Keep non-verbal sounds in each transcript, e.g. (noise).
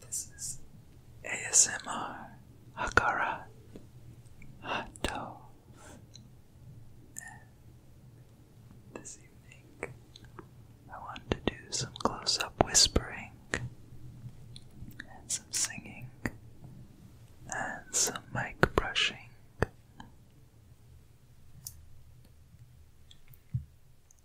this is ASMR Hakara Hato. this evening, I want to do some close up whispering and some singing and some mic brushing.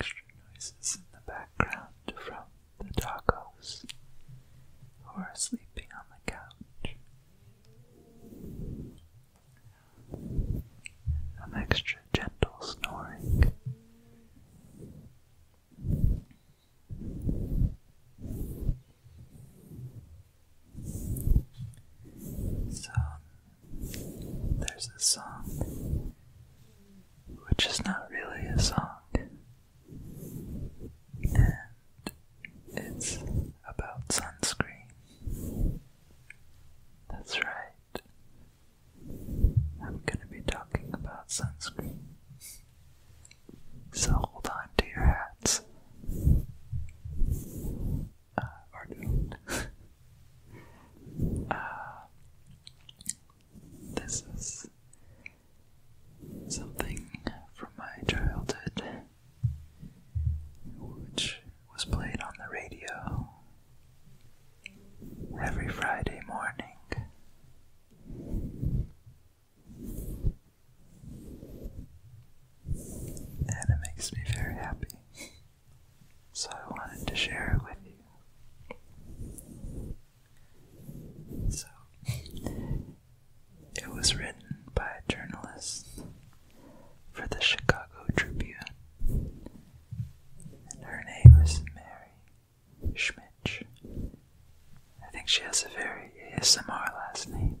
extra noises in the background from the doggos who are sleeping on the couch. An extra gentle snoring. So, there's this song, which is not really a song, and it's about sunscreen. That's right, I'm gonna be talking about sunscreen. So hold on to your hats uh, pardon. (laughs) Uh, this is something from my childhood which was played on the radio every Friday morning and it makes me very happy. So I wanted to share it with you. So it was written by a journalist for the Chicago Tribune, and her name is Mary Schmidt. I think she has a very ASMR last name.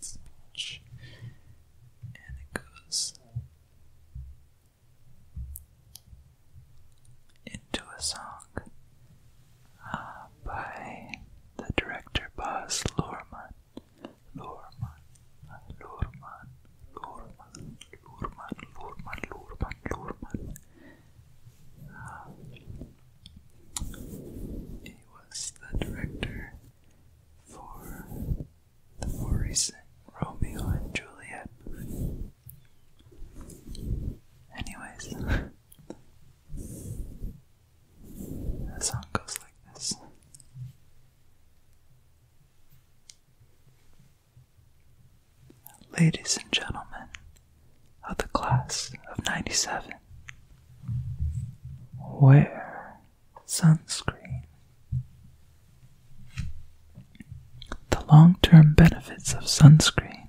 speech, and it goes into a song uh, by the director Baz Luhrmann. Luhrmann, Luhrmann, Luhrmann, Luhrmann, Luhrmann, Luhrmann, Luhrmann. Uh, he was the director for the more recent Romeo and Juliet Anyways, the (laughs) song goes like this. Ladies and gentlemen of the class of 97, Wear sunscreen. The long term benefits of sunscreen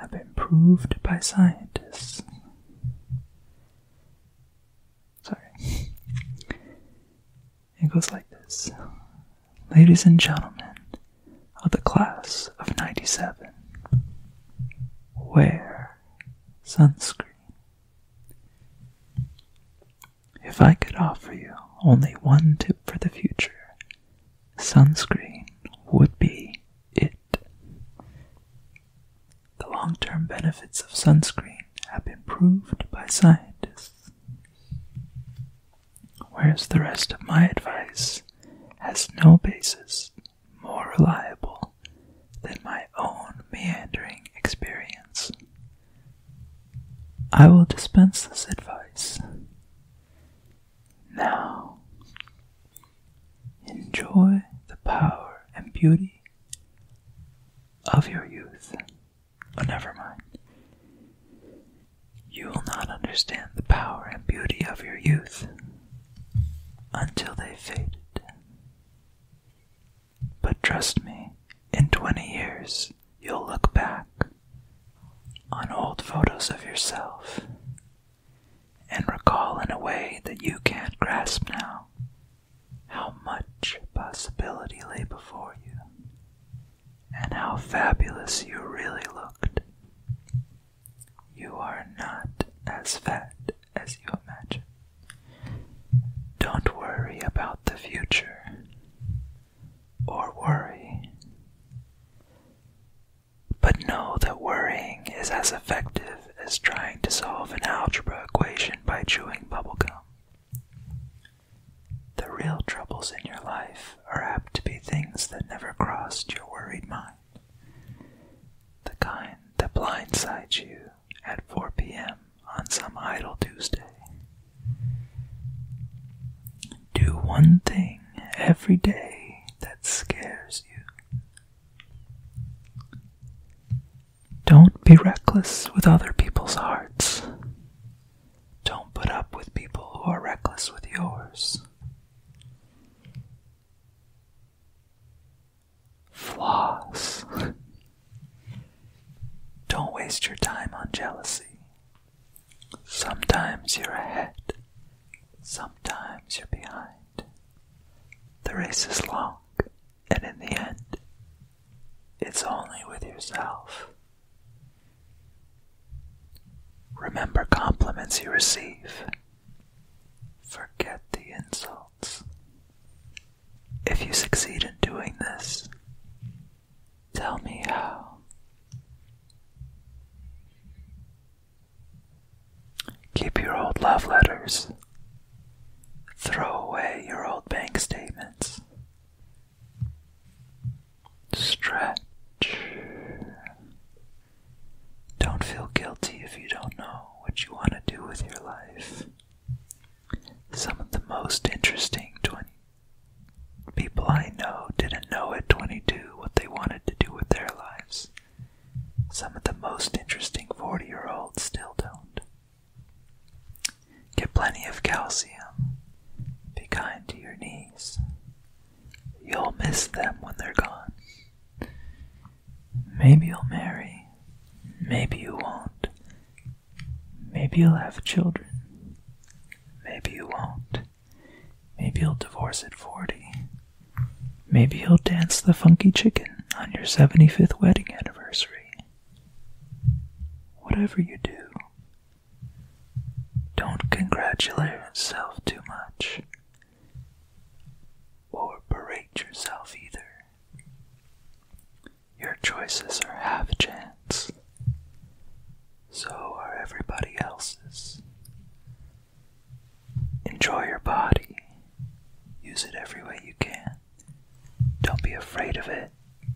have been proved by scientists. Sorry. It goes like this Ladies and gentlemen of the class of 97, Where? sunscreen. If I could offer you only one tip for the future, sunscreen would be it. The long term benefits of sunscreen have been proved by scientists. Whereas the rest of my advice has no basis more reliable than my own meandering experience. I will dispense this advice. Now, enjoy the power and beauty of your youth. but oh, never mind. You will not understand the power and beauty of your youth until they faded. But trust me, in 20 years, you'll look back on old photos of yourself and recall in a way that you can't grasp now how much possibility lay before you and how fabulous you really looked. You are not as fat as you imagine. Don't worry about the future, or worry. But know that worrying is as effective as trying to solve an algebra equation by chewing bubblegum. The real troubles in your life are apt to be things that never crossed your worried mind, the kind that blindsides you at 4 p.m. on some idle Tuesday. Do one thing every day that scares you. Don't be reckless with other people's hearts. Don't put up with people who are reckless with yours. Floss. Don't waste your time on jealousy. Sometimes you're ahead, sometimes you're behind. The race is long, and in the end, it's only with yourself. Remember compliments you receive Forget the insults. If you succeed in doing this, tell me how. Keep your old love letters. Throw away your old bank statements. Stretch. Don't feel guilty if you don't know what you want to do with your life. Some of the most interesting 20 people I know didn't know at 22 what they wanted to do with their lives. Some of the most interesting 40 year olds still don't. Get plenty of calcium. Be kind to your knees. You'll miss them when they're gone. Maybe you'll marry. Maybe you won't. Maybe you'll have children. Maybe you won't. Maybe you'll divorce at 40. Maybe you'll dance the funky chicken on your 75th wedding anniversary. Whatever you do, don't congratulate yourself too much or berate yourself either. Your choices are half chance. So are everybody else's. Enjoy your body. Use it every way you can. Don't be afraid of it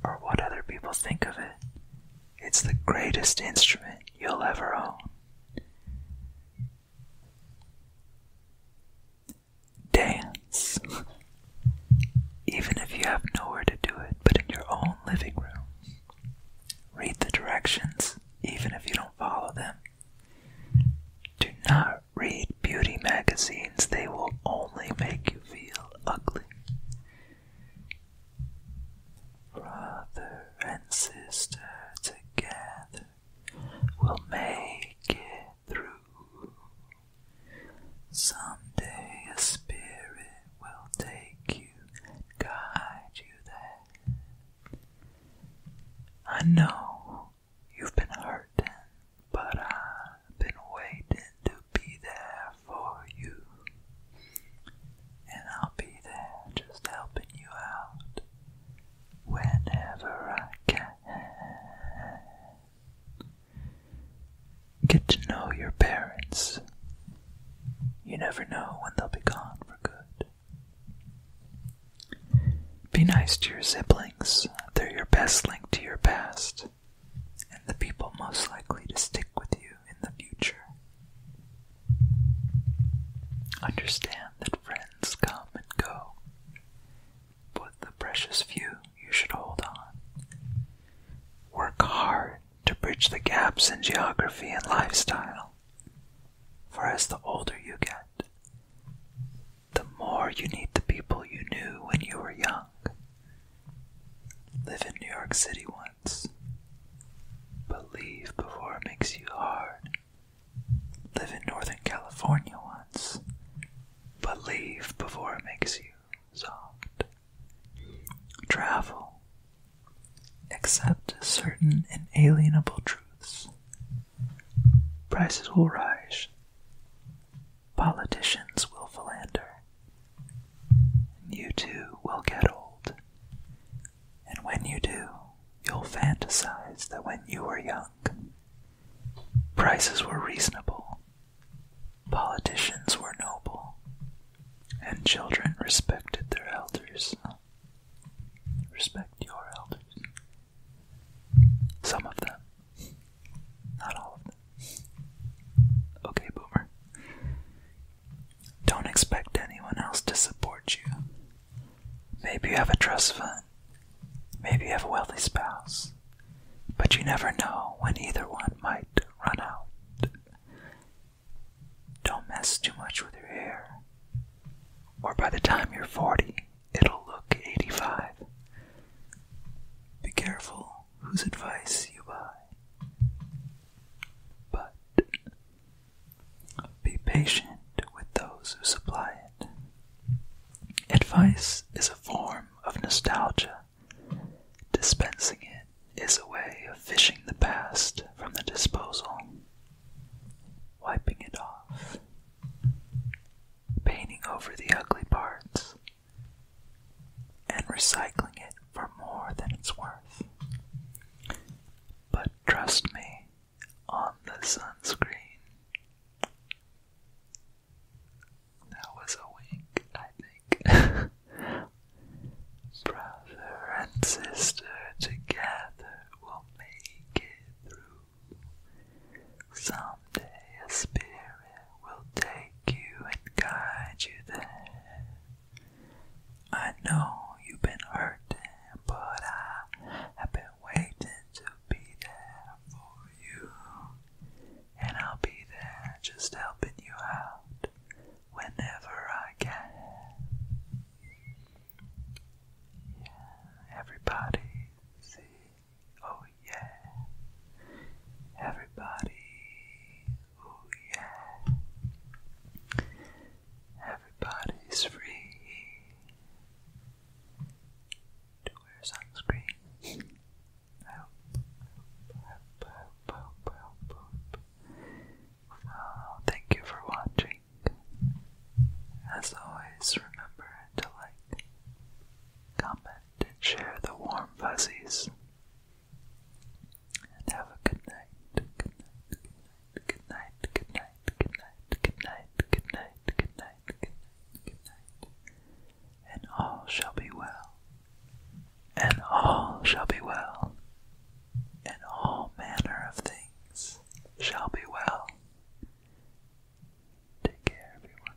or what other people think of it. It's the greatest instrument you'll ever own dance. Even if you have nowhere to do it, but in your own living room. Read the directions, even if you don't follow them. Do not read beauty magazines, they will only make you feel ugly. Brother and sister together will make it through. Someday a spirit will take you and guide you there. I know you've been hurting, but I've been waiting to be there for you. And I'll be there just helping you out whenever I can. Get to know your parents. You never know when they'll be gone for good. Be nice to your siblings. They're your best link to your past and the people most likely to stick with you in the future. Understand that friends come and go, but the precious few you should hold on. Work hard to bridge the gaps in geography and lifestyle, for as the older you get, the more you need the people you knew when you were young. Live in New York City once, but leave before it makes you hard. Live in Northern California once, but leave before it makes you soft. Travel. Accept certain inalienable truths. Prices will rise. Politicians will philander. You too will get old. And when you do, you'll fantasize that when you were young, Prices were reasonable, politicians were noble, and children respected their elders. Respect your elders. Some of them, not all of them. Okay, Boomer. Don't expect anyone else to support you. Maybe you have a trust fund Maybe you have a wealthy spouse. But you never know when either one might run out. Don't mess too much with your hair. Or by the time you're 40, it'll look 85. Be careful whose advice you buy. But be patient with those who supply it. Advice is a form of nostalgia. Dispensing it is a way of fishing the past from the disposal, wiping it off, painting over the ugly parts, and recycling it for more than it's worth. But trust me on the sunscreen. That was a wink, I think. (laughs) Brother and sister together will make it through. Someday a spirit will take you and guide you there. I know you've been hurting, but I have been waiting to be there for you and I'll be there just helping you out whenever I can. Yeah, everybody, see, oh yeah, everybody, oh yeah, everybody's free to wear sunscreen. I hope, hope, hope, hope, hope, hope. Well, thank you for watching. As always, remember to like, comment, and share the warm fuzzies. And have a good night. Good night. Good night. Good night. Good night. Good night. Good night. Good night. Good night and all shall be well, and all shall be well, and all manner of things shall be well. Take care, everyone.